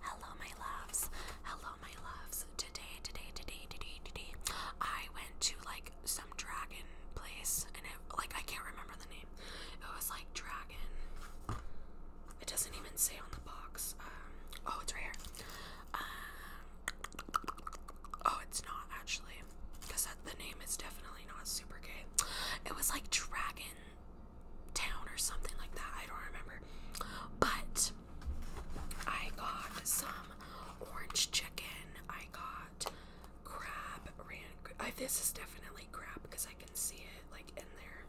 Hello, my loves. Hello, my loves. Today, today, today, today, today, I went to like some dragon place, and it like I can't remember the name. It was like dragon. It doesn't even say on the box. Um, oh, it's right here. Um, oh, it's not actually, because the name is definitely not super gay. It was like dragon town or something like that. I don't remember. But I got some orange chicken. I got crab. this is definitely crab because I can see it like in there,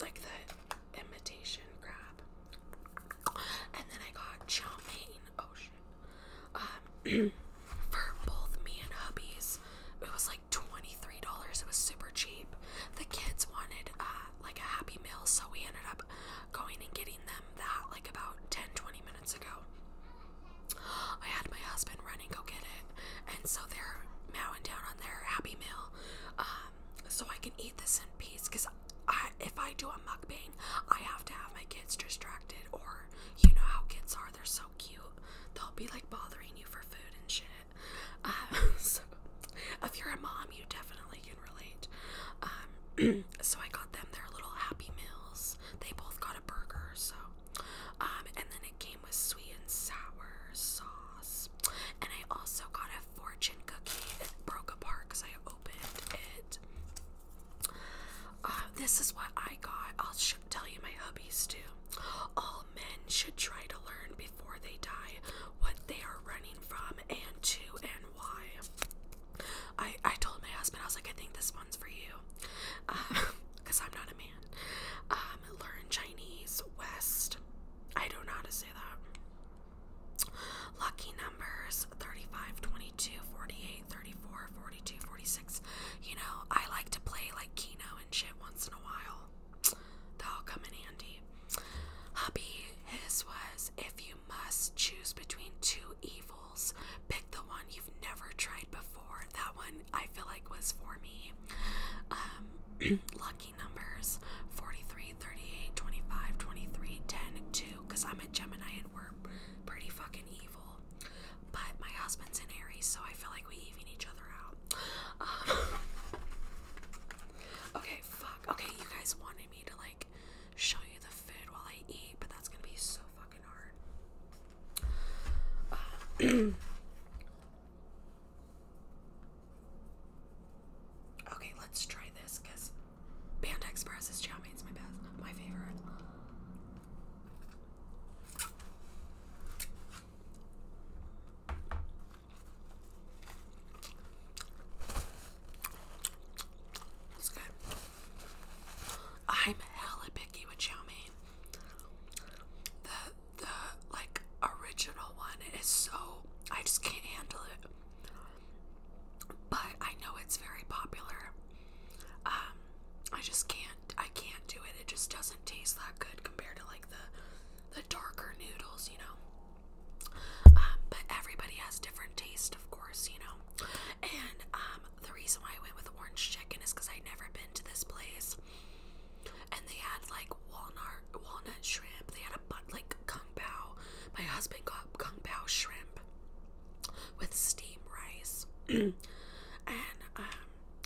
like the imitation crab. And then I got chow mein. Oh shit. Um, for both me and hubby's, it was $23. It was super cheap. The kids wanted uh, like a happy meal, so we ended up going and getting them that like about 10 20 minutes ago. I had my husband running go get it, and so they're mowing down on their happy meal. Um, so I can eat this in peace because if I do a mukbang, I have to have my kids distracted, or you know how kids are, they're so cute. They'll be like bothering you for food and shit. Uh, so if you're a mom, you definitely can relate. Um, so I got them their little happy meals. They both got a burger, so um, and then it came with sweet and sour sauce. And I also got a fortune cookie. It broke apart because I opened it. Uh, this is what I god, I'll tell you my hubbies too. All men should try to learn before they die what they are running from and to and why. I, I told my husband, I was like, I think this one's for you. Because um, I'm not a man. Um, learn Chinese, West. I don't know how to say that. Lucky numbers 35, 22, 48, 34, 42, You know, I like to play like Keno and shit once in a while. they will come in handy. Hubby, his was if you must choose between two evils, pick the one you've never tried before. That one I feel like was for me. Um, lucky numbers 43, 38, 25, 23, 10, 2. Because I'm a Gemini and we're pretty fucking but my husband's in Aries, so I feel like we even each other out. Um, okay, fuck. Okay, you guys wanted me to like show you the food while I eat, but that's gonna be so fucking hard. Uh, okay, let's try this because Panda Express is chow It's my best, my favorite. It's good. I'm hella picky with chow mein. The the like original one is so I just can't handle it. But I know it's very popular. Um, I just can't. I can't do it. It just doesn't taste that good compared to like the the darker noodles, you know. Um, but everybody has different taste, of course, you know. And um, the reason why I went with orange chicken is because I'd never been to this place, and they had like walnut walnut shrimp. They had a bun like kung pao. My husband got kung pao shrimp with steam rice, and um,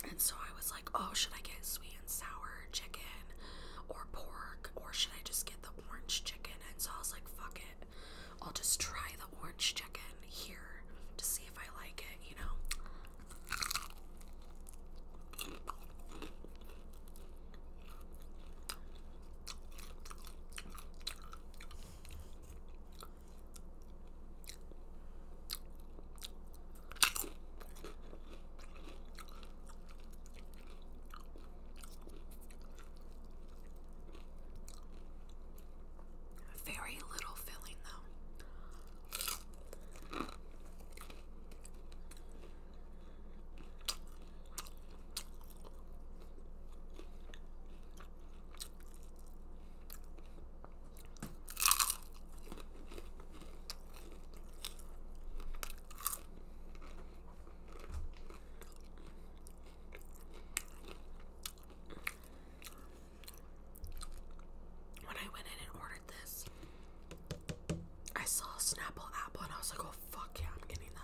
and so I was like, oh, should I get sweet and sour chicken or pork? Or should I just get the orange chicken? And so I was like, fuck it. I'll just try the orange chicken here to see if I like it, you know? Very little filling, though. When I went in and ordered this, I saw a Snapple apple and I was like, oh fuck yeah, I'm getting that.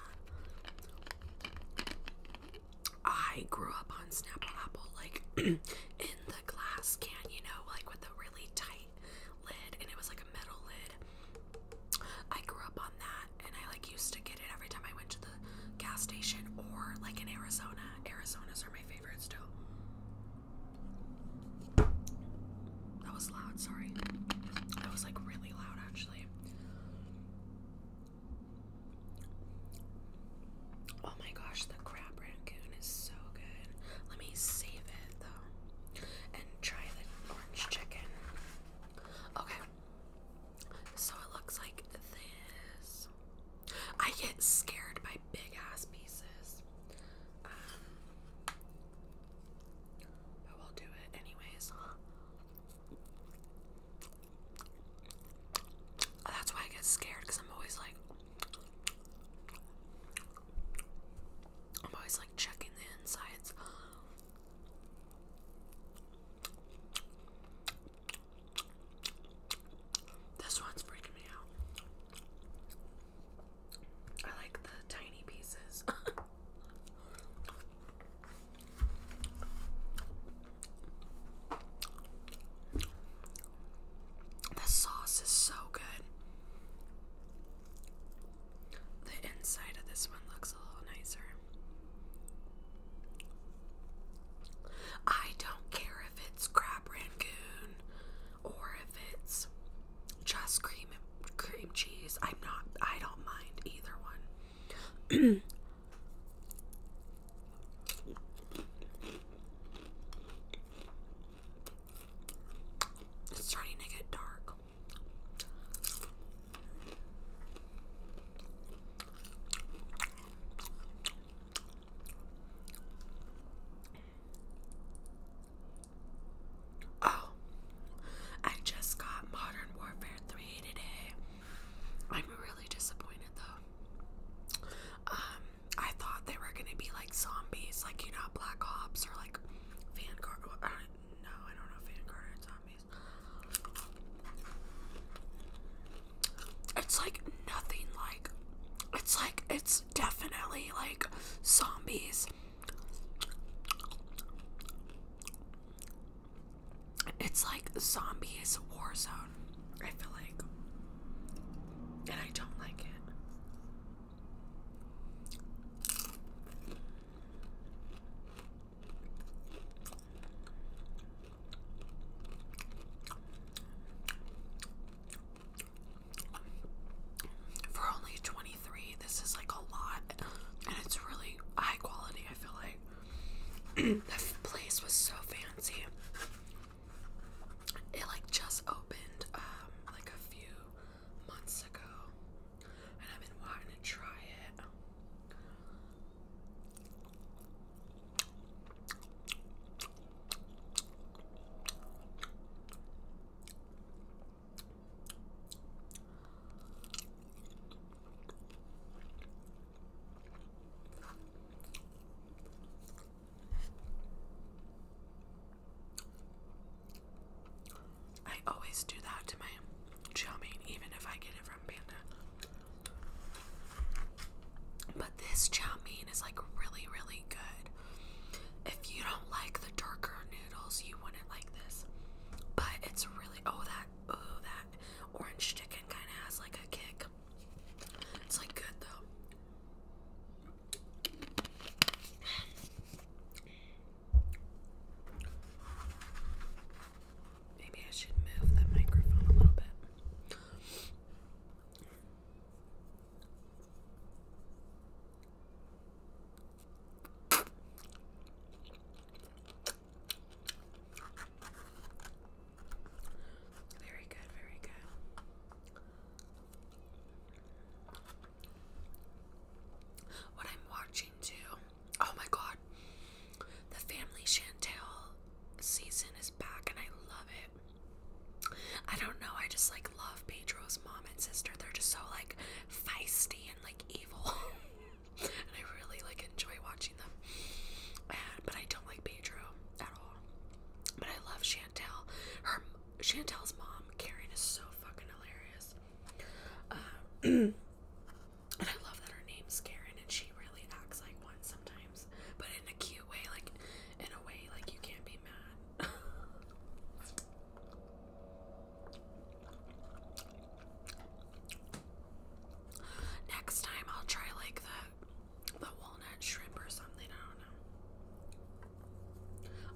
I grew up on Snapple Apple, like in the glass can, you know, like with a really tight lid, and it was like a metal lid. I grew up on that, and I like used to get it every time I went to the gas station or like in Arizona. Arizonas are my favorite still. That was loud, sorry. That was like really loud actually. Oh my gosh, the crab rancoon is so good. Let me save it though and try the orange chicken. Okay, so it looks like this. I get scared by big ass pieces. Um, but we'll do it anyways. That's why I get scared because I'm always like, I'm always like checking the insides. This one's freaking me out. I like the tiny pieces. The sauce is so good. The inside of this one looks a little nicer. I don't care if it's crab rangoon or if it's just cream cream cheese. I'm not I don't mind either one. It's starting to get dark. Oh, I just got Modern Warfare 3 today. I'm really disappointed though. Um, I thought they were gonna be like zombies, like you know, Black Ops or like Vanguard. no, I don't know Vanguard zombies. It's like nothing like. It's like it's definitely like zombies. It's like zombies war zone. I feel like, and I don't like it. For only 23, this is like a lot, and it's really high quality, I feel like the place was so fancy. It like just opened um like a few months ago. And I've been wanting to try it. I always do that to my chow mein, even if I get it from Panda. But this chow mein is like really, really good. If you don't like the darker noodles, you wouldn't like this. But it's really oh that oh that orange chicken kind of has like a kick. It's like good though. Maybe I should move the microphone a little bit. Very good, very good. What I'm watching too. Oh my god. The Family Chantel season is back and I love it. I don't know, I just like love Pedro's mom and sister. They're just so like feisty and like evil. and I really like enjoy watching them. but I don't like Pedro at all. But I love Chantel. Her Chantel's mom, Karen, is so fucking hilarious. Uh, and I love that her name's Karen, and she really acts like one sometimes, but in a cute way, like in a way like you can't be mad. Next time I'll try like the the walnut shrimp or something. I don't know.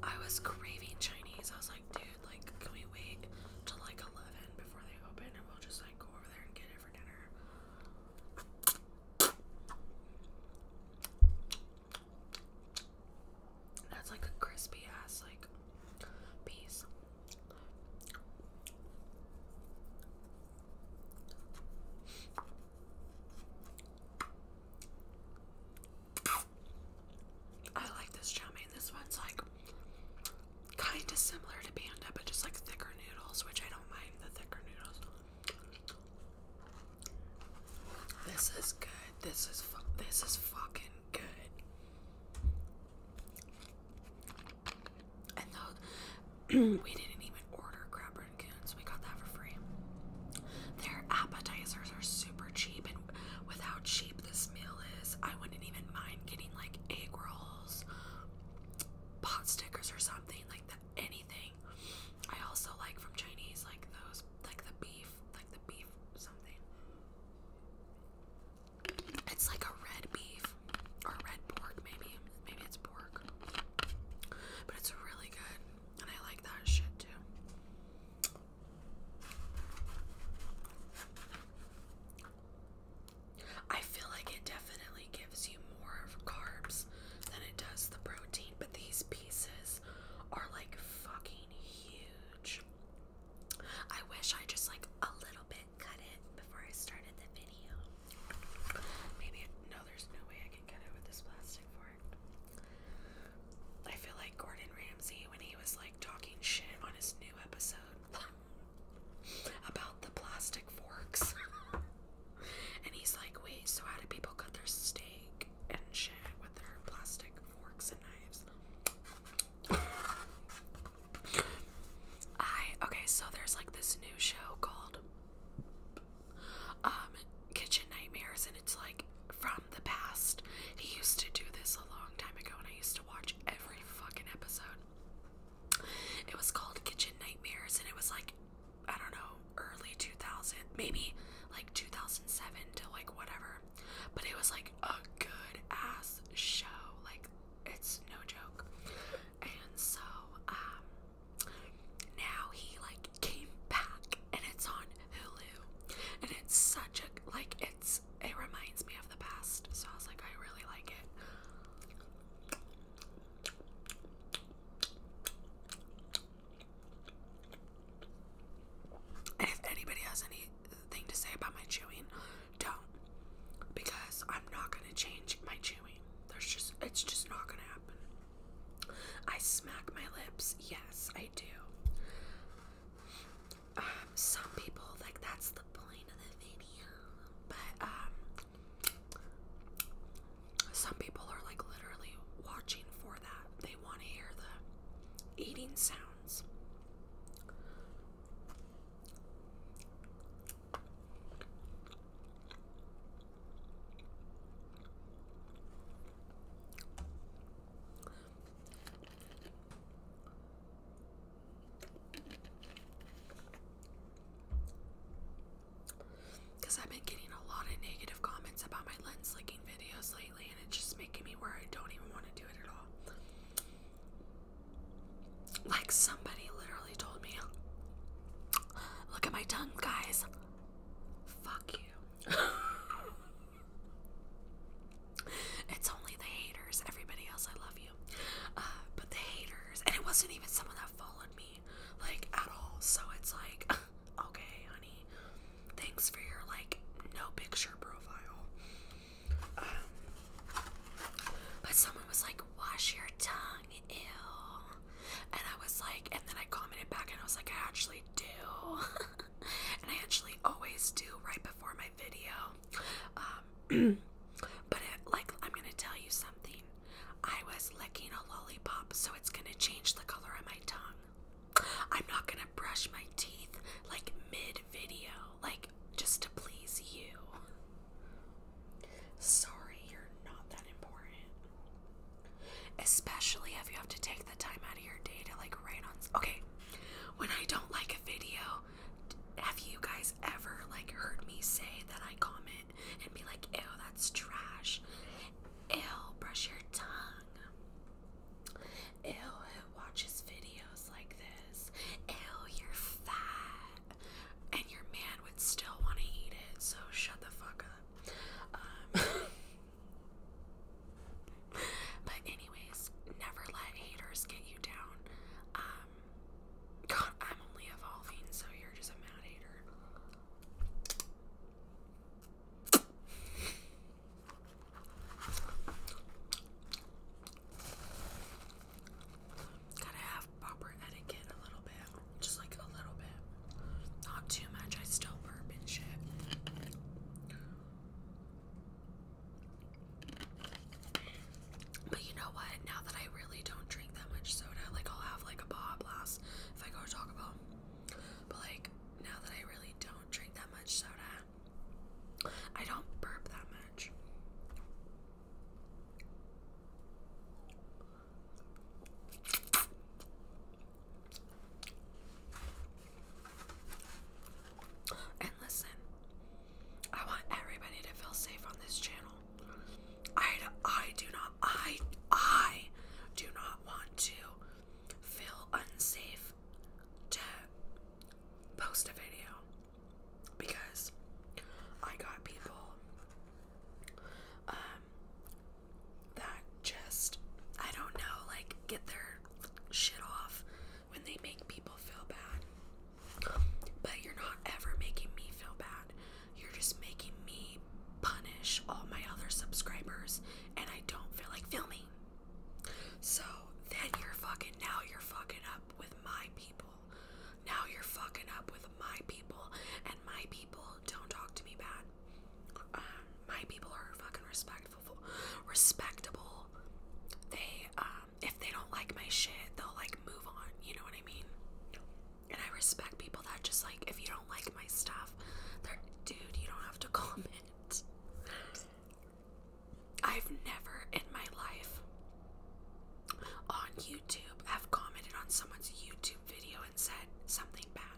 I was craving Chinese. I was like, dude, like, can we wait till like eleven before they open, and we'll just like go over there and get it for dinner. That's like a crispy ass like piece. I like this chummy. This one's like kind of similar to Panda, but just like thicker noodles, which I don't mind the thicker noodles. This is good. This is this is fucking good. And though we didn't even order crab rangoons, we got that for free. Their appetizers are super cheap, and with how cheap this meal is, I wouldn't even mind getting like egg rolls, pot stickers, or something like that. Anything. I also like from Chinese, like those, like the beef, like the beef something. It's like a red beef or red pork, maybe. Maybe it's pork. But it's really good. And I like that shit too. I feel like it definitely gives you more of carbs than it does the protein, but these pieces are like fucking huge. I wish I just like a little bit cut it before I started the video. Maybe, no, there's no way I can cut it with this plastic fork. I feel like Gordon Ramsay when he was like talking shit on his new episode about the plastic forks. and he's like, wait, so how do people cut their steak and shit with their plastic forks and knives? I okay, so there's like this new show called um Kitchen Nightmares and it's like from the past. He used to do this a long time ago and I used to watch every fucking episode. It was called Kitchen Nightmares and it was like I don't know, early 2000, maybe like 2007 to like whatever. But it was like a good ass show. Like it's no joke. And so, um, now he like came back and it's on Hulu. And it's such a like it's it reminds me of the past. So I was like, I really like it. if anybody has anything to say about my chewing, don't. Because I'm not gonna change my chewing. There's just it's just not gonna happen. I smack my lips, yes, I do. Um, some people like that's the point of the video, but um, some people are like literally watching for that. They want to hear the eating sounds. Because I've been getting a lot of negative comments about my lens licking videos lately, and it's just making me where I don't even want to do it at all. Like somebody literally told me, look at my tongue, guys. Fuck you. it's only the haters. Everybody else, I love you. Uh, but the haters, and it wasn't even someone that followed me, like at all. So it's like, okay, honey, thanks for your like no picture profile. Um, but someone was like, wash your tongue, ew. And I was like, and then I commented back and I was like, I actually do. and I actually always do right before my video. Um, but it, like, I'm gonna tell you something. I was licking a lollipop, so it's gonna change the color of my tongue. I'm not gonna brush my teeth like mid video, like just to please you. Sorry, you're not that important. Especially if you have to take the time out of your day to like write on. Okay, when I don't like a video, have you guys ever like heard me say that I comment and be like, ew, that's trash? Ew, brush your tongue. Ew, who watches videos like this? Ew, you're fat. And your man would still want to eat it, so shut the fuck up. Um, but, anyways, never let haters get you down. Um, God, I'm only evolving, so you're just a mad hater. Gotta have proper etiquette a little bit. Just like a little bit. Not too much. I still burp and shit. But you know what? Now that I really don't drink that much soda, like I'll have like a Baja Blast if I go to Taco But like now that I really don't drink that much soda, I don't burp that much. And listen, I want everybody to feel safe on this channel. I, I do not, I, I do not want to feel unsafe to post a video because I got people um, that just I don't know like get their shit off when they make people feel bad. But you're not ever making me feel bad. You're just making me punish all my other subscribers and I don't feel like filming. So then you're fucking, now you're fucking up with my people. Now you're fucking up with my people, and my people don't talk to me bad. Um, my people are fucking respectful, respectable. They, um, if they don't like my shit, they'll like move on. You know what I mean? And I respect people that just like, if you don't like my stuff, they're, dude, you don't have to comment. I've never in my life on YouTube have commented on someone's YouTube video and said something bad.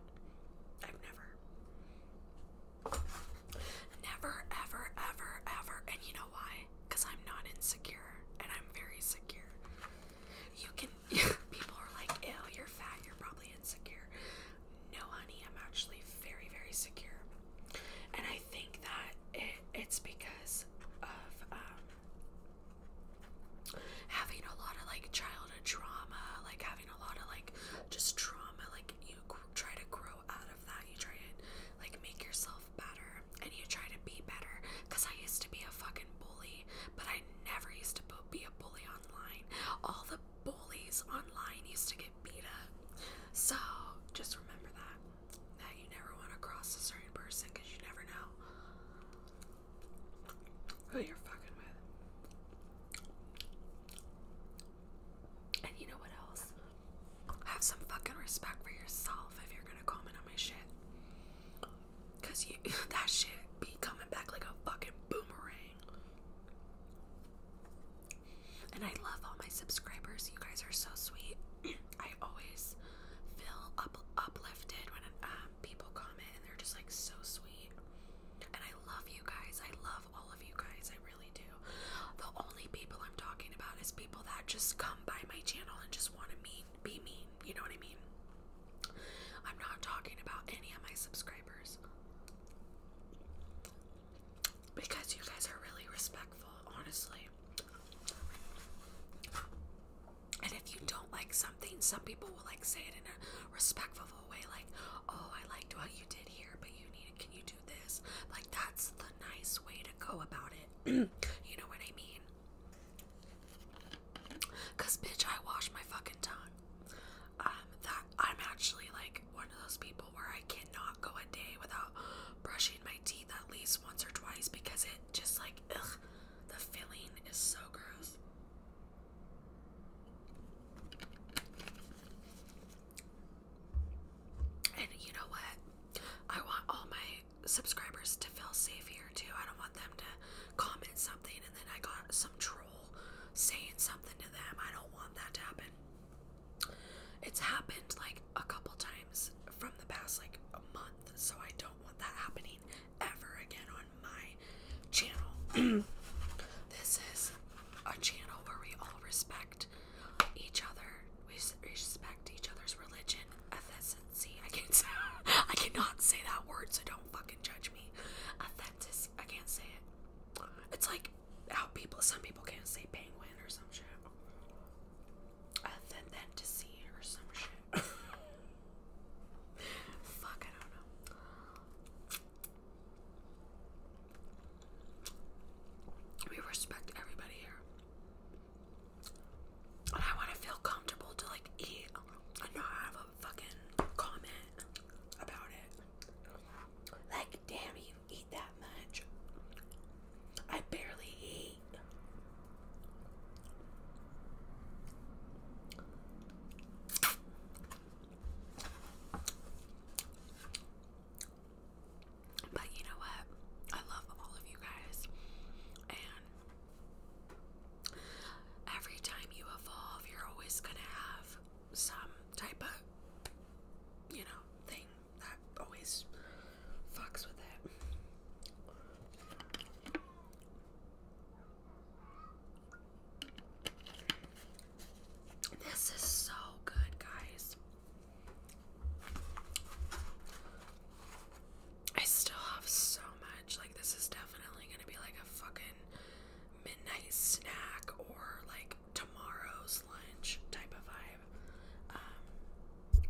I've never. Never, ever, ever, ever. And you know why? Because I'm not insecure and I'm very secure. You can, people are like, ew, you're fat, you're probably insecure no honey i'm actually very very secure and i think that it, it's because of um, having a lot of like childhood trauma like having a lot of like just trauma like you try to grow out of that you try to like make yourself better and you try to be better because i used to be a fucking bully but i never used to be a bully online all the bullies online used to get beat up. So just remember that. That you never want to cross a certain person because you never know who you're fucking with. And you know what else? Have some fucking respect for yourself if you're gonna comment on my shit. you that shit be coming back like a fucking boomerang. And I love all my subscribers. You guys are so sweet. I always feel up uplifted when um, people comment and they're just like so sweet. And I love you guys. I love all of you guys. I really do. The only people I'm talking about is people that just come by my channel and just want to mean be mean. You know what I mean? I'm not talking about any of my subscribers because you guys are really respectful, honestly. And if you don't like something, some people will like say it in a respectful way, like, "Oh, I liked what you did here, but you need can you do this?" Like that's the nice way to go about it. you know what I mean? Cause bitch, I wash my fucking tongue. Um, that I'm actually like one of those people where I cannot go a day without brushing my teeth at least once or twice because it just like ugh, the feeling is so gross. And you know what? I want all my subscribers to feel safe here too. I don't want them to comment something and then I got some troll saying something to them. I don't want that to happen. It's happened like a couple times from the past like a month, so I don't want that happening ever again on my channel. this is a channel where we all respect each other. We respect each other's religion, ethnicity. I can't say, I cannot say that word, so don't fucking judge me. Ethnicity. I can't say it. It's like how people, some people can't say penguin or some shit. Other or some shit. Fuck, I don't know. We respect everybody here. And I want to feel comfortable to like eat and not have fucking comment about it. Like, damn, you eat that much. I barely eat. But you know what? I love all of you guys. And every time you evolve, you're always going to have some type of, you know, thing that always fucks with it. This is so good, guys. I still have so much. Like, this is definitely gonna be like a fucking midnight snack or like tomorrow's lunch type of vibe. Um,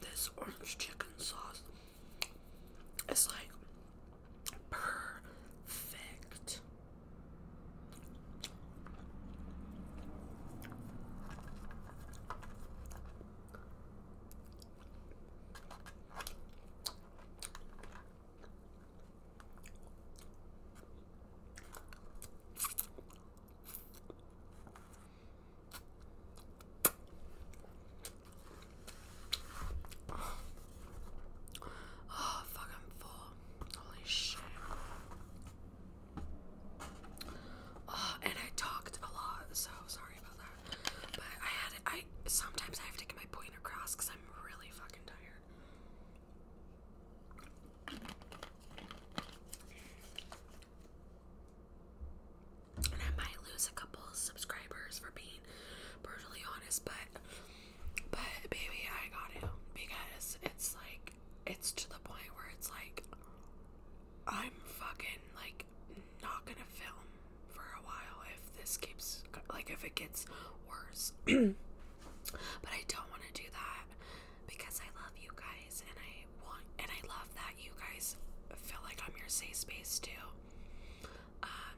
this orange chicken sauce is like perfect. Oh fuck, I'm full. Holy shit. Oh, and I talked a lot, so sorry about that. But I had I sometimes I have to get my point across because I'm really fucking tired. And I might lose a couple subscribers for being brutally honest, but but baby, I got it because it's like it's to the point where it's like I'm fucking like not gonna film for a while if this keeps like if it gets worse. but I don't want to do that because I love you guys and I want and I love that you guys feel like I'm your safe space too. Um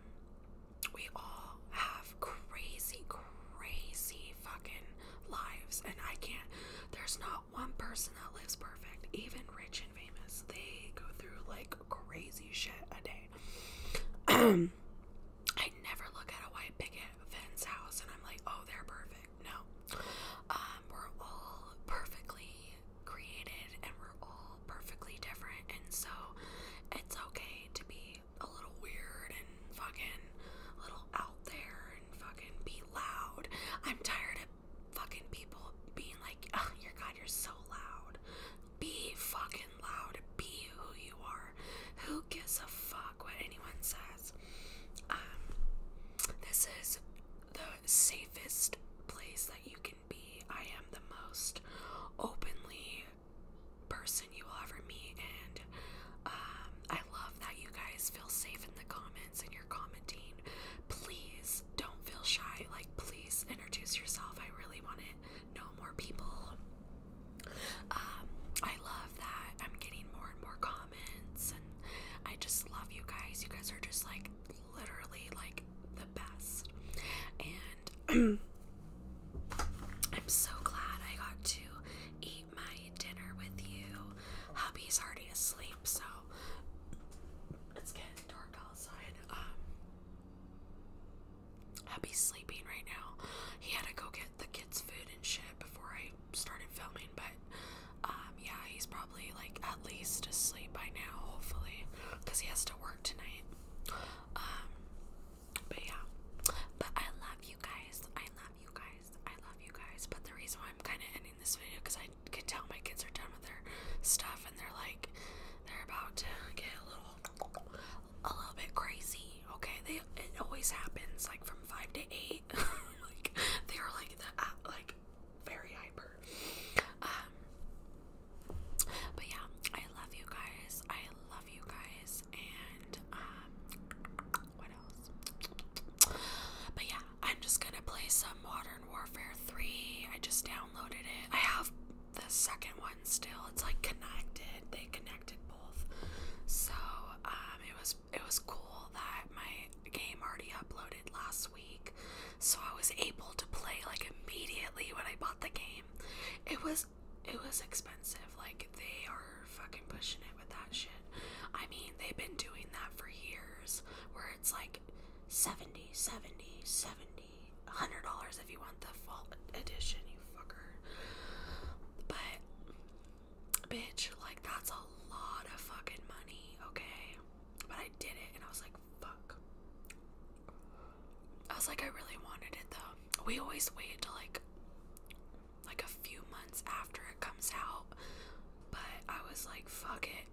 we all have crazy crazy fucking lives and I can't there's not one person that lives perfect, even rich and famous. They go through like crazy shit a day. I never look at a white picket fence house and I'm like, oh, they're perfect. No. Um, we're all perfectly created and we're all perfectly different. And so it's okay to be a little weird and fucking little out there and fucking be loud. I'm tired of fucking people being like, your God, you're so loud. Be fucking loud. Be who you are. Who gives a fuck what anyone says? Um, this is the safest place that you can be. I am the most openly person you will ever meet, and um, I love that you guys feel safe in the comments and you're commenting. Please don't feel shy. Like, please introduce yourself. I really want to know more people. Um, I love that I'm getting more and more comments, and I just love you guys. You guys are just like literally like the best. And I'm so glad I got to eat my dinner with you. Hubby's already asleep, so it's getting dark outside. Um, Hubby's sleeping right now. He had to go get the kids' food and shit before I started filming, but um, yeah, he's probably like at least asleep by now, hopefully, because he has to work tonight. Um, but yeah, but I love you guys. I love you guys. I love you guys. But the reason why I'm kind of ending this video because I could tell my kids are done with their stuff and they're like, they're about to get a little, a little bit crazy. Okay, they it always happens like from five to eight. like they are like the uh, like very hyper. Um, but yeah, I love you guys. I love you guys, and um, what else? But yeah, I'm just gonna play some Modern Warfare 3. I just downloaded it. I have the second one still. It's like connected. They connected both. So um, it was it was cool that my game already uploaded last week. So I was able to play like immediately when I bought the game. It was it was expensive. Like they are fucking pushing it with that shit. I mean, they've been doing that for years where it's like 70, 70, 70, $100 if you want the full edition, you fucker. But, bitch, like, that's a lot of fucking money, okay? But I did it and I was like, fuck. I was like, I really wanted it though. We always wait to like like a few months after it comes out. But I was like, fuck it.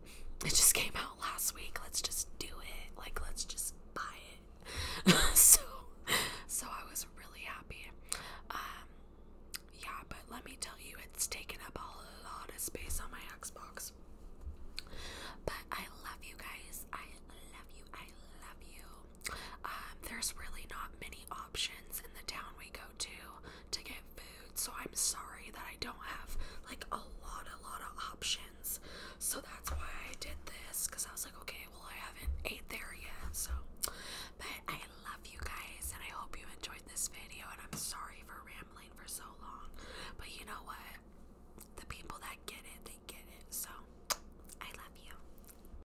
It just came out last week. Let's just do it. Like, let's just buy it. so, so I was really happy. Um, yeah, but let me tell you, it's taken up a lot of space on my Xbox. But I love you guys. I love you. I love you. Um, there's really not many options in the town we go to to get food, so I'm sorry that I don't have like a lot, a lot of options. So that's why I did this because I was like, okay, well, I haven't ate there yet, so but I love you guys and I hope you enjoyed this video. And I'm sorry for rambling for so long, but you know what? The people that get it, they get it. So I love you.